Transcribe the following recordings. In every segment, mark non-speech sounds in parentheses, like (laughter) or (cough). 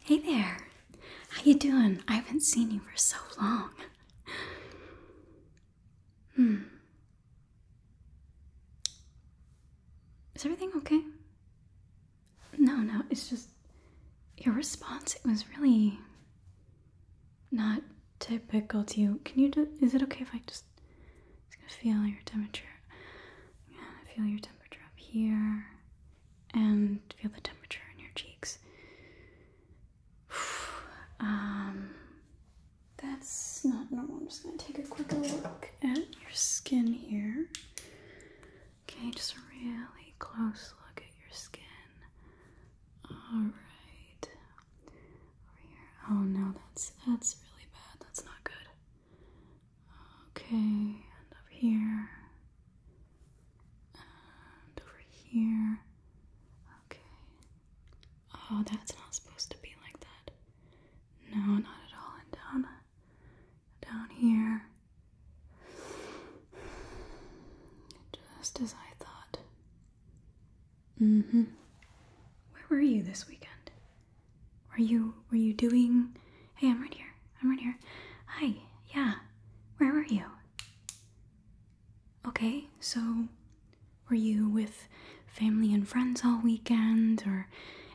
Hey there. How you doing? I haven't seen you for so long. Hmm. Is everything okay? No, no, it's just your response it was really not typical to you. Can you do is it okay if I just feel your temperature? feel your temperature up here and feel the temperature in your cheeks. (sighs) um, that's not normal. I'm just going to take a quick look at your skin here. Okay, just a really close look at your skin. Alright. Over here. Oh no, that's that's really bad. That's not good. Okay, and up here, and over here. Okay. Oh, that's not supposed to be like that. No, not at all. And down, down here. Just as I thought. Mm hmm. Where were you this weekend? Were you were you doing Hey, I'm right here. I'm right here. Hi. Yeah. Where were you? Okay. So were you with family and friends all weekend or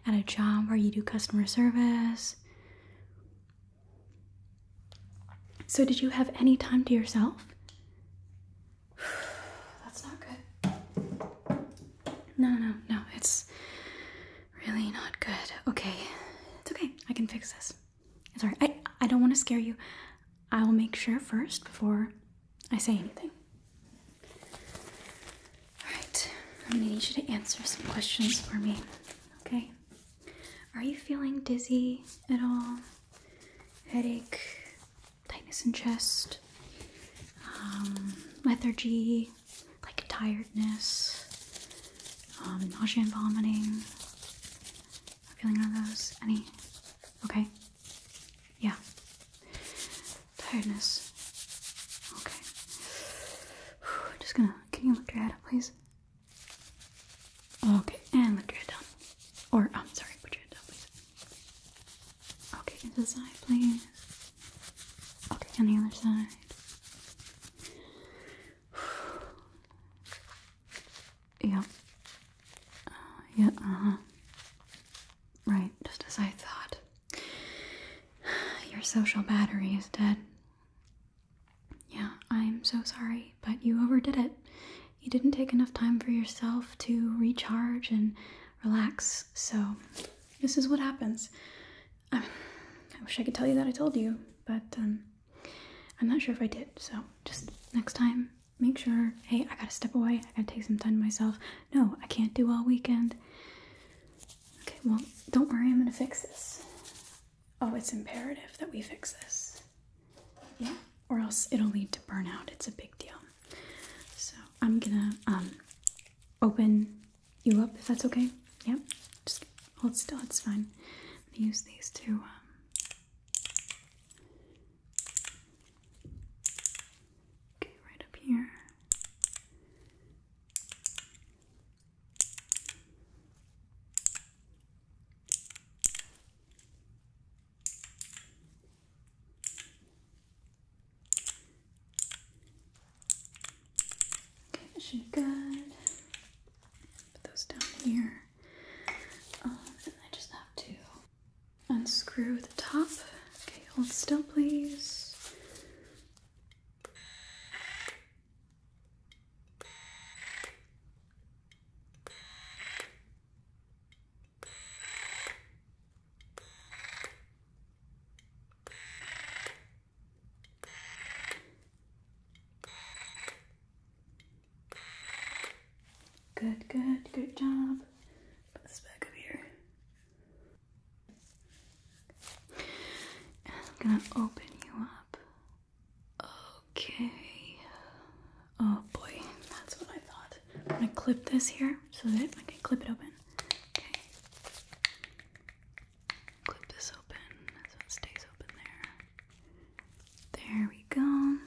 at a job where you do customer service? So did you have any time to yourself? (sighs) That's not good. No, no, no. It's Really not good. Okay. It's okay. I can fix this. It's alright. I, I don't want to scare you. I will make sure first before I say anything. Alright. I'm going to need you to answer some questions for me. Okay? Are you feeling dizzy at all? Headache? Tightness in chest? Um, lethargy? like tiredness, um, nausea and vomiting. Feeling none of those? Any? Okay. Yeah. Tiredness. Okay. I'm just gonna. Can you lift your head up, please? Okay, and lift your head down. Or, I'm sorry, put your head down, please. Okay, into the side, please. Okay, on the other side. (sighs) yeah. Uh, yeah, uh-huh. Right, just as I thought. (sighs) Your social battery is dead. Yeah, I'm so sorry, but you overdid it. You didn't take enough time for yourself to recharge and relax, so this is what happens. I, wish I could tell you that I told you, but um, I'm not sure if I did. So just next time, make sure hey, I gotta step away. I gotta take some time to myself. No, I can't do all weekend. Okay, well, don't worry, I'm gonna fix this. Oh, it's imperative that we fix this. Yeah, or else it'll lead to burnout. It's a big deal. So I'm gonna um, open you up if that's okay. Yep. just hold still, it's fine. I'm gonna use these to. Um, okay, right up here. Okay, that should be good. Put those down here. Uh, and I just have to unscrew the top. Okay, hold still, please. Good, good, good job. Put this back up here. I'm gonna open you up. Okay. Oh boy, that's what I thought. I'm gonna clip this here so that I can clip it open. Okay. Clip this open so it stays open there. There we go. I'm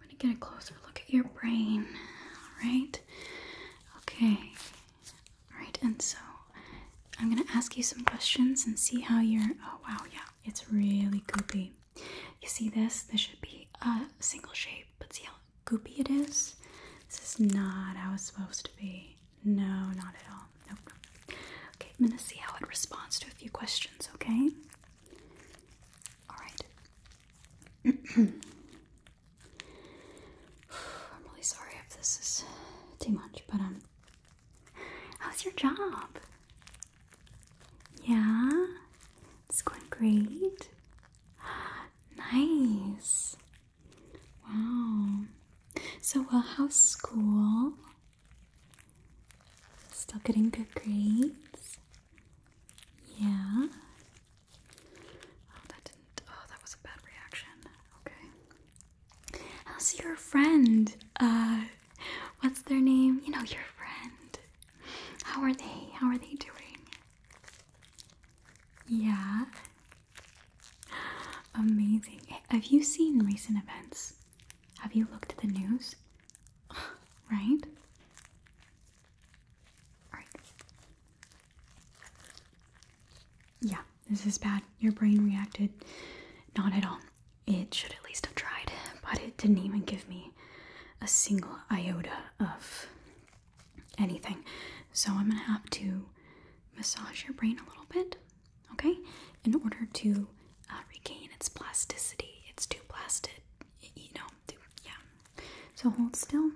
gonna get a closer look at your brain. Alright. Okay. Alright, and so I'm gonna ask you some questions and see how you're oh wow, yeah, it's really goopy. You see this? This should be a single shape, but see how goopy it is. This is not how it's supposed to be. No, not at all. Nope. Okay, I'm gonna see how it responds to a few questions, okay? Alright. (clears throat) I'm really sorry if this is too much, but um how's your job? Yeah? It's going great. (gasps) nice. Wow. So, well, how's school? Still getting good grades? Yeah. Oh, that didn't. Oh, that was a bad reaction. Okay. How's your friend? Uh, what's their name? You know, your friend. How are they? How are they doing? Yeah. Amazing. Have you seen recent events? Have you looked at the news? (sighs) right? Yeah, this is bad. Your brain reacted not at all. It should at least have tried, but it didn't even give me a single iota of anything. So I'm gonna have to massage your brain a little bit, okay, in order to uh, regain its plasticity. It's too plastic, you know. yeah. So hold still.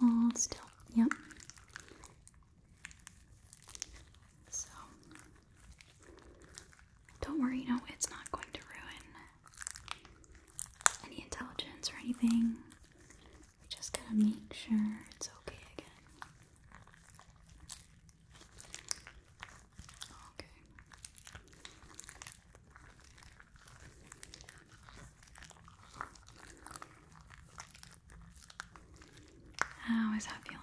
Hold still. Yep. So don't worry, You know it's not going to ruin any intelligence or anything. We just gotta make sure it's okay again. Okay. How is that feeling?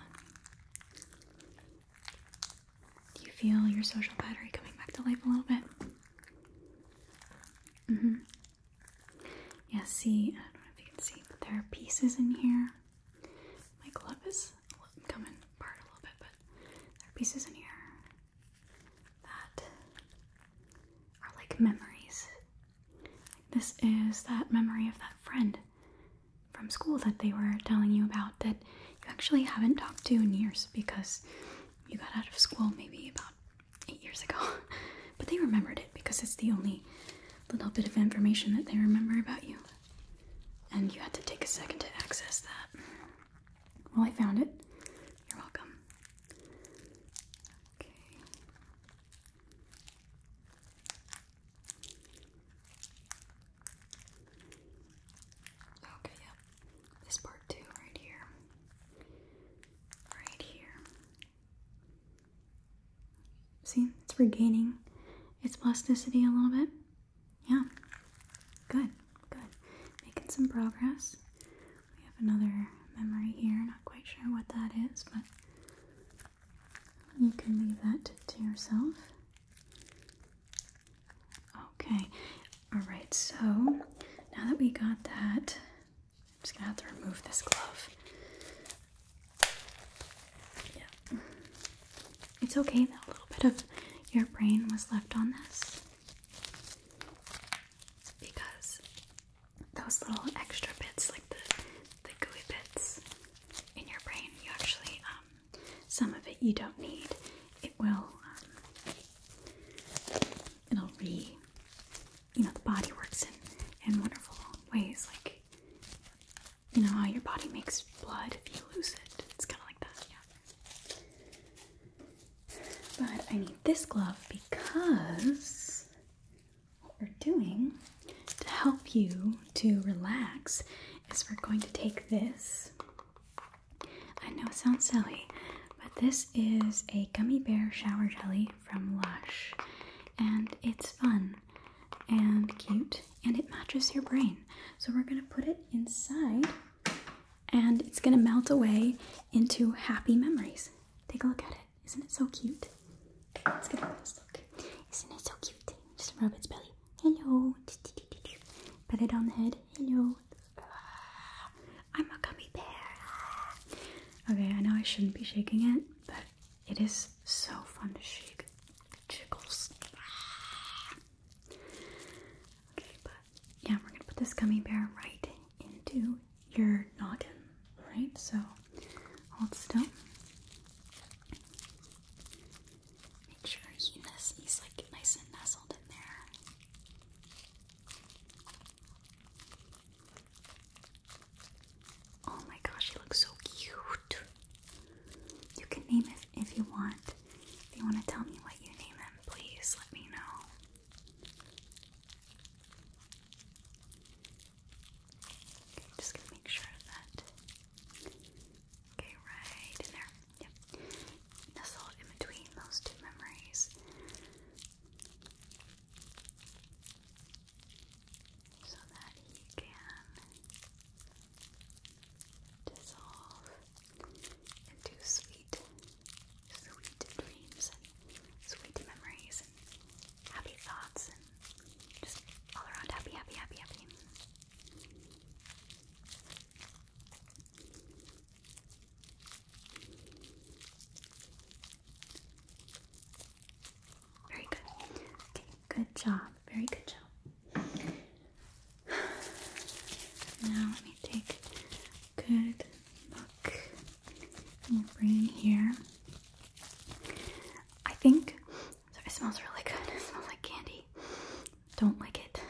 Do you feel your social battery coming back to life a little bit? Mm hmm. Yeah, see, I don't know if you can see, but there are pieces in here. My glove is coming apart a little bit, but there are pieces in here that are like memories. This is that memory of that friend from school that they were telling you about that you actually haven't talked to in years because you got out of school maybe about eight years ago. (laughs) But they remembered it because it's the only little bit of information that they remember about you. And you had to take a second to access that. Well, I found it. You're welcome. Okay. Okay, yep. This part too, right here. Right here. See, it's regaining its plasticity a little bit. Yeah. Good, good. Making some progress. We have another memory here. Not quite sure what that is, but you can leave that to yourself. Okay, all right, so now that we got that, I'm just gonna have to remove this glove. It's okay that a little bit of your brain was left on this because those little extra bits, like the, the gooey bits in your brain, you actually um, some of it you don't need. It will, um, it'll re, you know, the body works in, in wonderful ways. Like, you know how your body makes blood if you lose it. It's kind of like that, yeah. But I need this glove because what we're doing to help you to relax is we're going to take this. I know it sounds silly, but this is a gummy bear shower jelly from Lush, and it's fun and cute and it matches your brain. So we're going to put it inside and it's going to melt away into happy memories. Take a look at it. Isn't it so cute? Let's get a close look. Isn't it so cute? Just rub its belly. Hello. Pat it on the head. Hello. I'm a gummy bear. Okay, I know I shouldn't be shaking it, but it is so fun to shake. Jiggles. Okay, but yeah, we're gonna put this gummy bear right into your noggin. Right, so hold still. Make sure he's like nice and nestled in there. Oh my gosh, he looks so cute. You can name it if you want. If you want to tell me what you name him, please let me know. Okay, just gonna make sure that. Okay, right in there. Yep. Nestled in between those two memories. So that he can dissolve into sweet, sweet dreams and sweet memories and happy thoughts just all around happy, happy, happy, happy. Very good. Okay, good job. Very good job. Now let me take a good look in your brain here. I think it smells really good. It smells like candy. Don't lick it,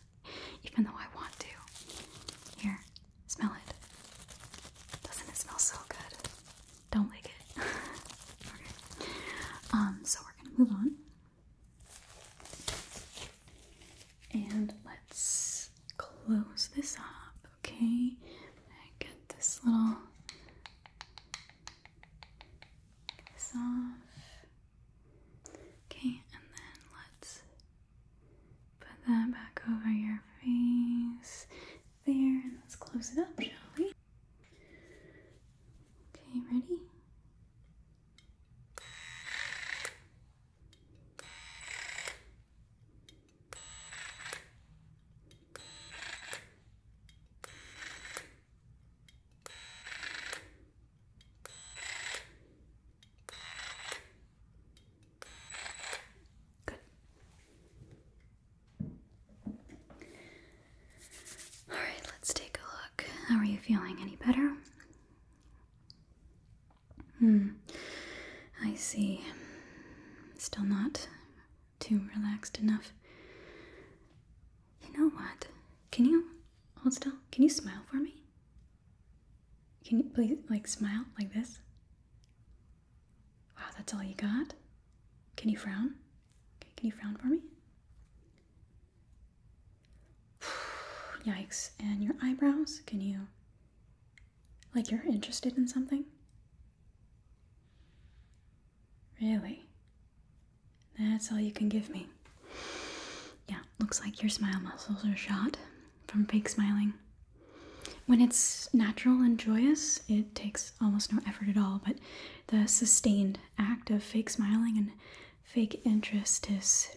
(laughs) even though I want to. Here, smell it. Doesn't it smell so good? Don't lick it. (laughs) okay. Um. So we're gonna move on, and let's close this up. Okay. get this little this off. Okay, and then let's put that back over your face there, and let's close it up, shall we? Okay, ready? Good. All right, let's take a look. How are you feeling? Any better? Hmm. I see. Still not too relaxed enough. You know what? Can you hold still? Can you smile for me? Can you please, like, smile like this? Wow, that's all you got? Can you frown? can you frown for me? (sighs) Yikes. And your eyebrows? Can you. Like, you're interested in something? Really? That's all you can give me. Yeah, looks like your smile muscles are shot from fake smiling. When it's natural and joyous, it takes almost no effort at all, but the sustained act of fake smiling and fake interest is. (sighs)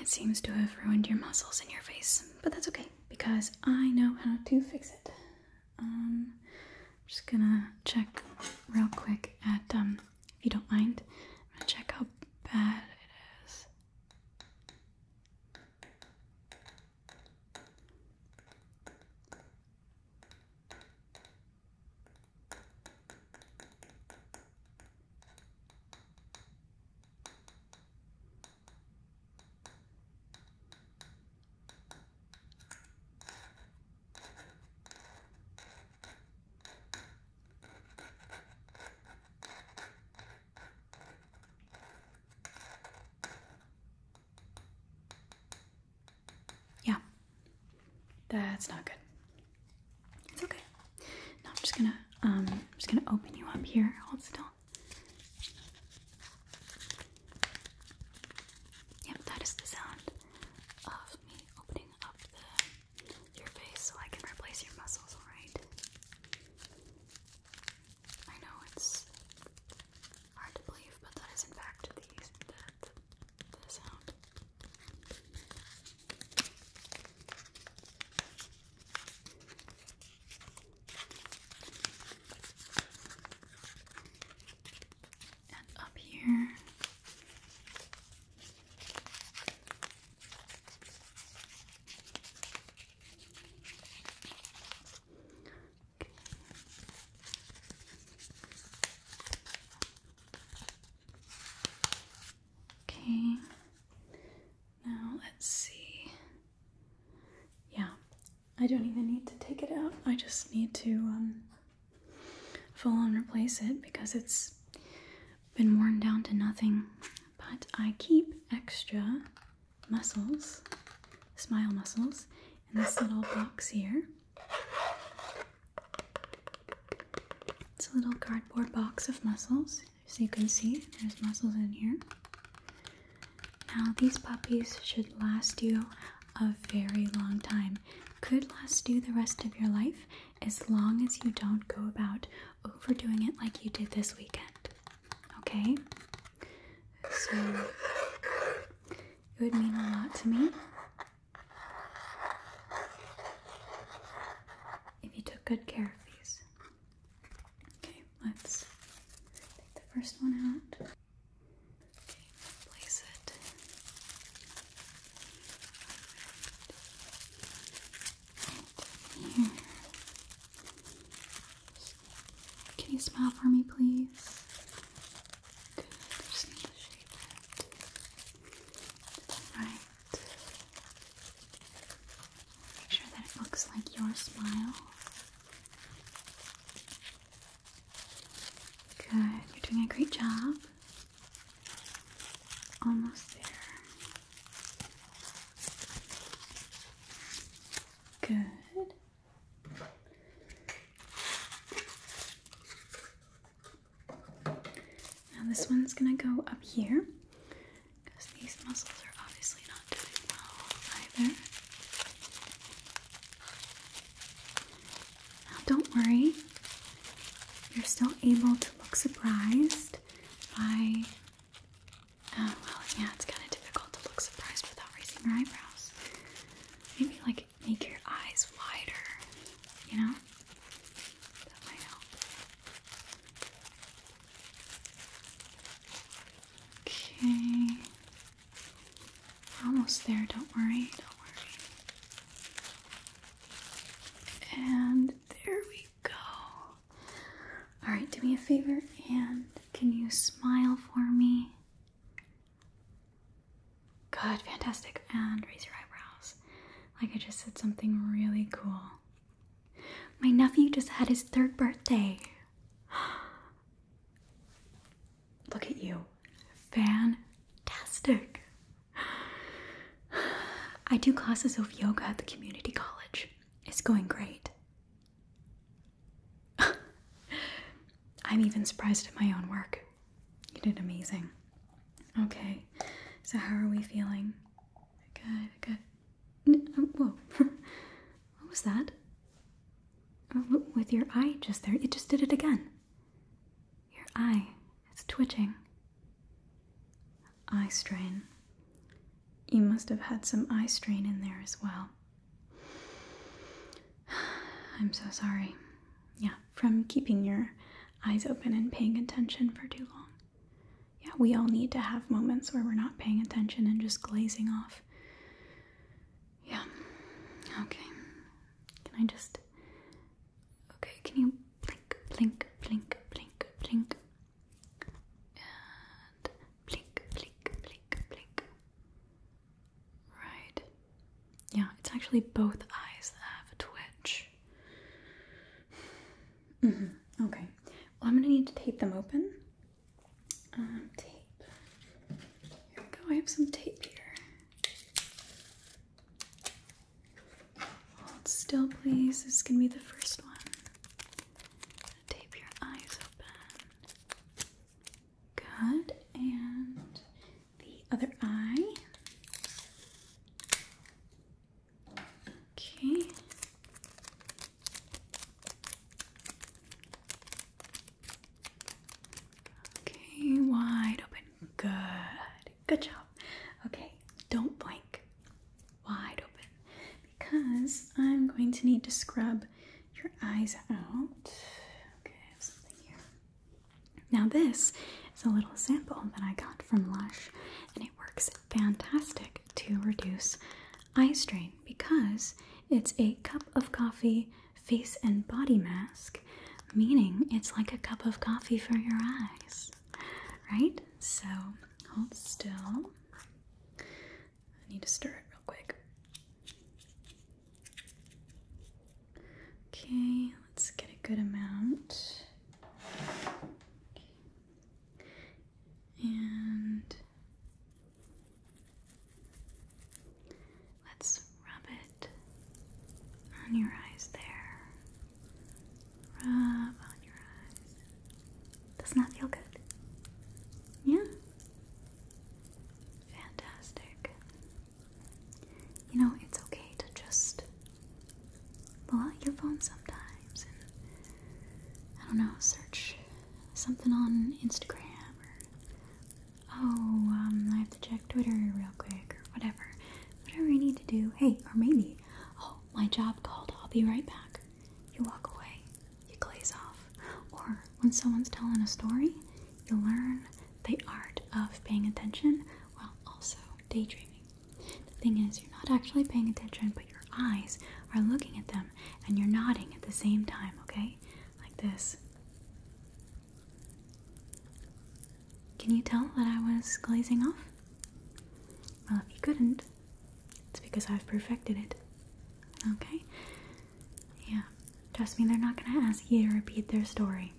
It seems to have ruined your muscles in your face, but that's okay because I know how to fix it. Um, I'm just gonna check real quick at, um, if you don't mind, i check how bad it is. Yeah, that's not good. It's okay. Now I'm just gonna um just gonna open you up here. Hold still. Yep, that is the sound of me opening up your face so I can replace your muscles, alright? I know it's hard to believe, but that is in fact the sound. And up here. Okay. Now let's see. Yeah, I don't even need to take it out. I just need to um, full on replace it because it's been worn down to nothing. But I keep extra muscles, smile muscles, in this little box here. It's a little cardboard box of muscles. So you can see, there's muscles in here. Now, these puppies should last you a very long time. Could last you the rest of your life as long as you don't go about overdoing it like you did this weekend. Okay? So, it would mean a lot to me if you took good care of these. Okay, let's take the first one out. Okay, place it. here. Can you smile for me, please? Good. Just need to shape it. Right. Make sure that it looks like your smile. Good, you're doing a great job. Almost there. Good. Now, this one's gonna go up here because these muscles are obviously not doing well either. Now, don't worry, you're still able to look surprised by. Uh, well, yeah, it's kind of difficult to look surprised without raising your eyebrows. Maybe, like, make your eyes wider, you know? That might help. Okay. We're almost there, don't worry, don't worry. And there we go. Alright, do me a favor and can you smile for me? Good, fantastic. And raise your eyebrows. Like I just said something really cool. My nephew just had his third birthday. (gasps) Look at you. Fantastic. (sighs) I do classes of yoga at the community college. It's going great. (laughs) I'm even surprised at my own work. You did amazing. Okay, so how are we feeling? Good, good. Uh, whoa. (laughs) what was that? Uh, with your eye just there. It just did it again. Your eye. It's twitching. Eye strain. You must have had some eye strain in there as well. (sighs) I'm so sorry. Yeah, from keeping your eyes open and paying attention for too long yeah, we all need to have moments where we're not paying attention and just glazing off. Yeah. Okay. Can I just. Okay, can you blink, blink, blink, blink, blink? And blink, blink, blink, blink. Right. Yeah, it's actually both eyes that have a twitch. Mm-hmm. Okay. Well, I'm gonna need to tape them open. Um, tape. Here we go. I have some tape here. Hold still, please. This is gonna be the first one. Tape your eyes open. Good. And the other eye. Okay. Okay, wide open. Good. Good job. Okay, don't blink. Wide open. Because I'm going to need to scrub your eyes out. Okay, I have something here. Now, this is a little sample that I got from Lush and it works fantastic to reduce eye strain because it's a cup of coffee face and body mask, meaning it's like a cup of coffee for your eyes. Right? So hold still. I need to stir it real quick. Okay, let's get a good amount. And let's rub it on your eyes there. Rub on your eyes. does that feel good? Yeah? Fantastic. You know, it's okay to just pull out your phone sometimes and I don't know, search something on Instagram or oh, um, I have to check Twitter real quick or whatever. Whatever I need to do. Hey, or maybe, oh, my job called, I'll be right back. You walk away, you glaze off. Or when someone's telling a story, you learn the art of paying attention while also daydreaming. The thing is, you're not actually paying attention, but your eyes are looking at them and you're nodding at the same time, okay? Like this. Can you tell that I was glazing off? Well, if you couldn't, it's because I've perfected it. Okay? Yeah. Trust me, they're not gonna ask you to repeat their story.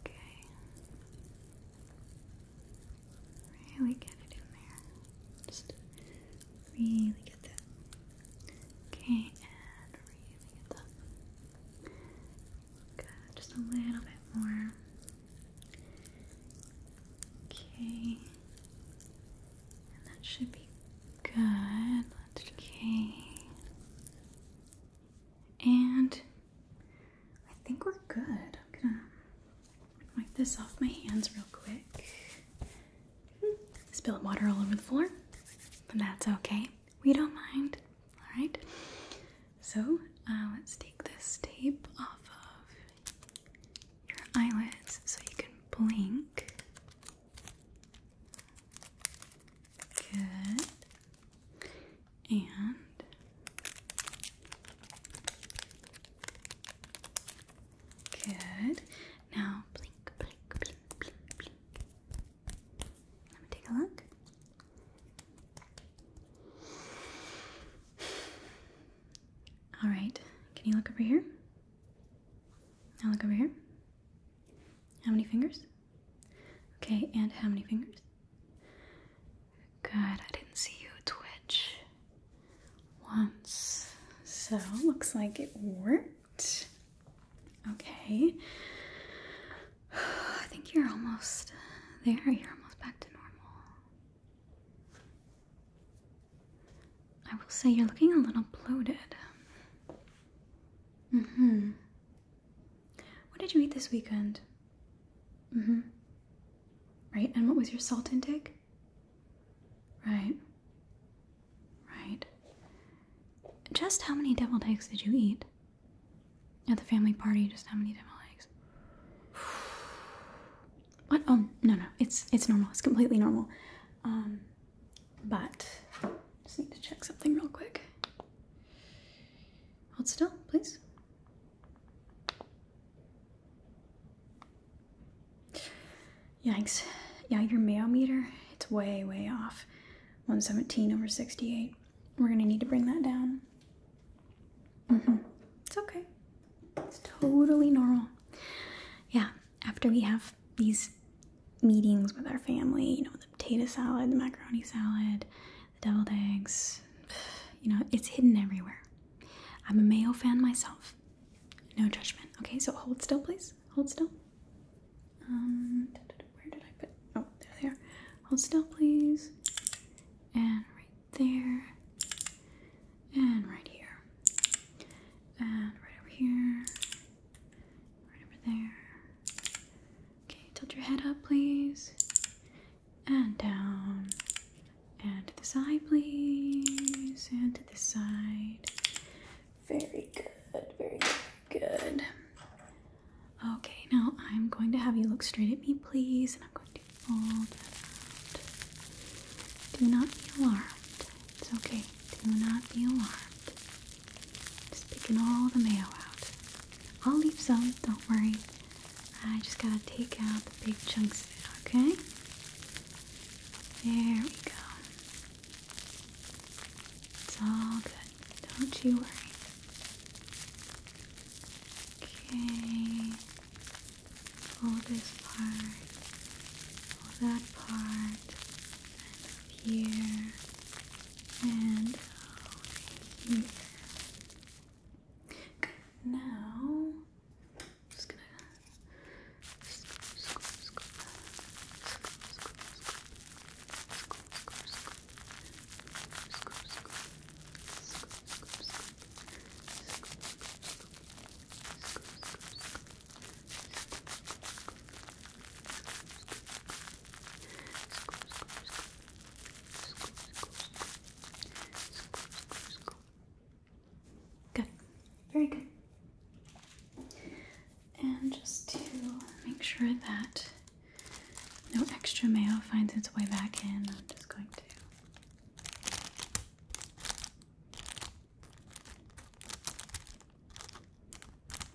Okay. Really get it in there. Just really get that. Okay, and really get that. Good, just a little bit more. Okay. And that should be good. okay. And I think we're good. I'm gonna wipe this off my hands real quick. Spill water all over the floor, but that's okay. We don't mind. All right. So uh, let's take this tape off of your eyelids so you can blink. Good. And good. Now blink, blink, blink, blink, blink. Let me take a look. All right. Can you look over here? Now look over here. How many fingers? Okay, and how many fingers? Good, I didn't see you twitch once. So, looks like it worked. Okay. (sighs) I think you're almost there. You're almost back to normal. I will say you're looking a little bloated. Mm hmm. What did you eat this weekend? Mm hmm. Right, and what was your salt intake? Right. Right. Just how many deviled eggs did you eat? At the family party, just how many deviled eggs? (sighs) what? Oh, no, no. It's it's normal. It's completely normal. Um, but just need to check something real quick. Hold still, please. Yikes. Yeah, your meter it's way, way off. 117 over 68. We're gonna need to bring that down. Mm-hmm. It's okay. It's totally normal. Yeah, after we have these meetings with our family, you know, the potato salad, the macaroni salad, the deviled eggs. (sighs) You know, it's hidden everywhere. I'm a mayo fan myself. No judgment. Okay, so hold still, please. Hold still. Um, where did I put? Oh, there they are. Hold still, please. And right there. And right here. And right over here. Right over there. Okay, tilt your head up, please. And down. And to the side, please. And to the side. Very good, very good. Okay, now I'm going to have you look straight at me, please. And I'm going to fold that out. Do not be alarmed. It's okay. Do not be alarmed. Just picking all the mail out. I'll leave some, don't worry. I just gotta take out the big chunks, okay? There we go. It's all good. Don't you worry. Okay. Pull this part. Pull that part. And up here and over oh, Now, just gonna Good. Very good. And just to make sure that no extra mayo finds its way back in, I'm just going to.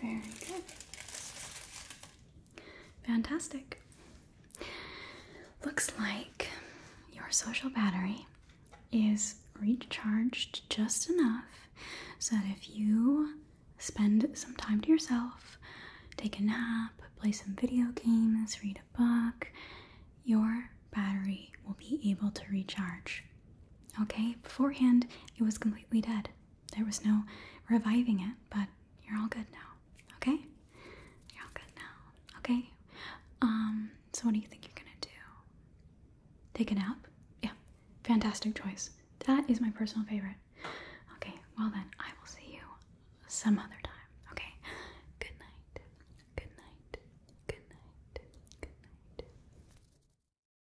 Very good. Fantastic. Looks like your social battery is recharged just enough so that if you spend some time to yourself, take a nap, play some video games, read a book, your battery will be able to recharge. Okay, beforehand it was completely dead. There was no reviving it, but you're all good now. Okay? You're all good now. Okay? Um, so what do you think you're gonna do? Take a nap? Yeah. Fantastic choice. That is my personal favorite. Okay, well then, I will see you some other time. Okay? Good night. Good night. Good night. Good night.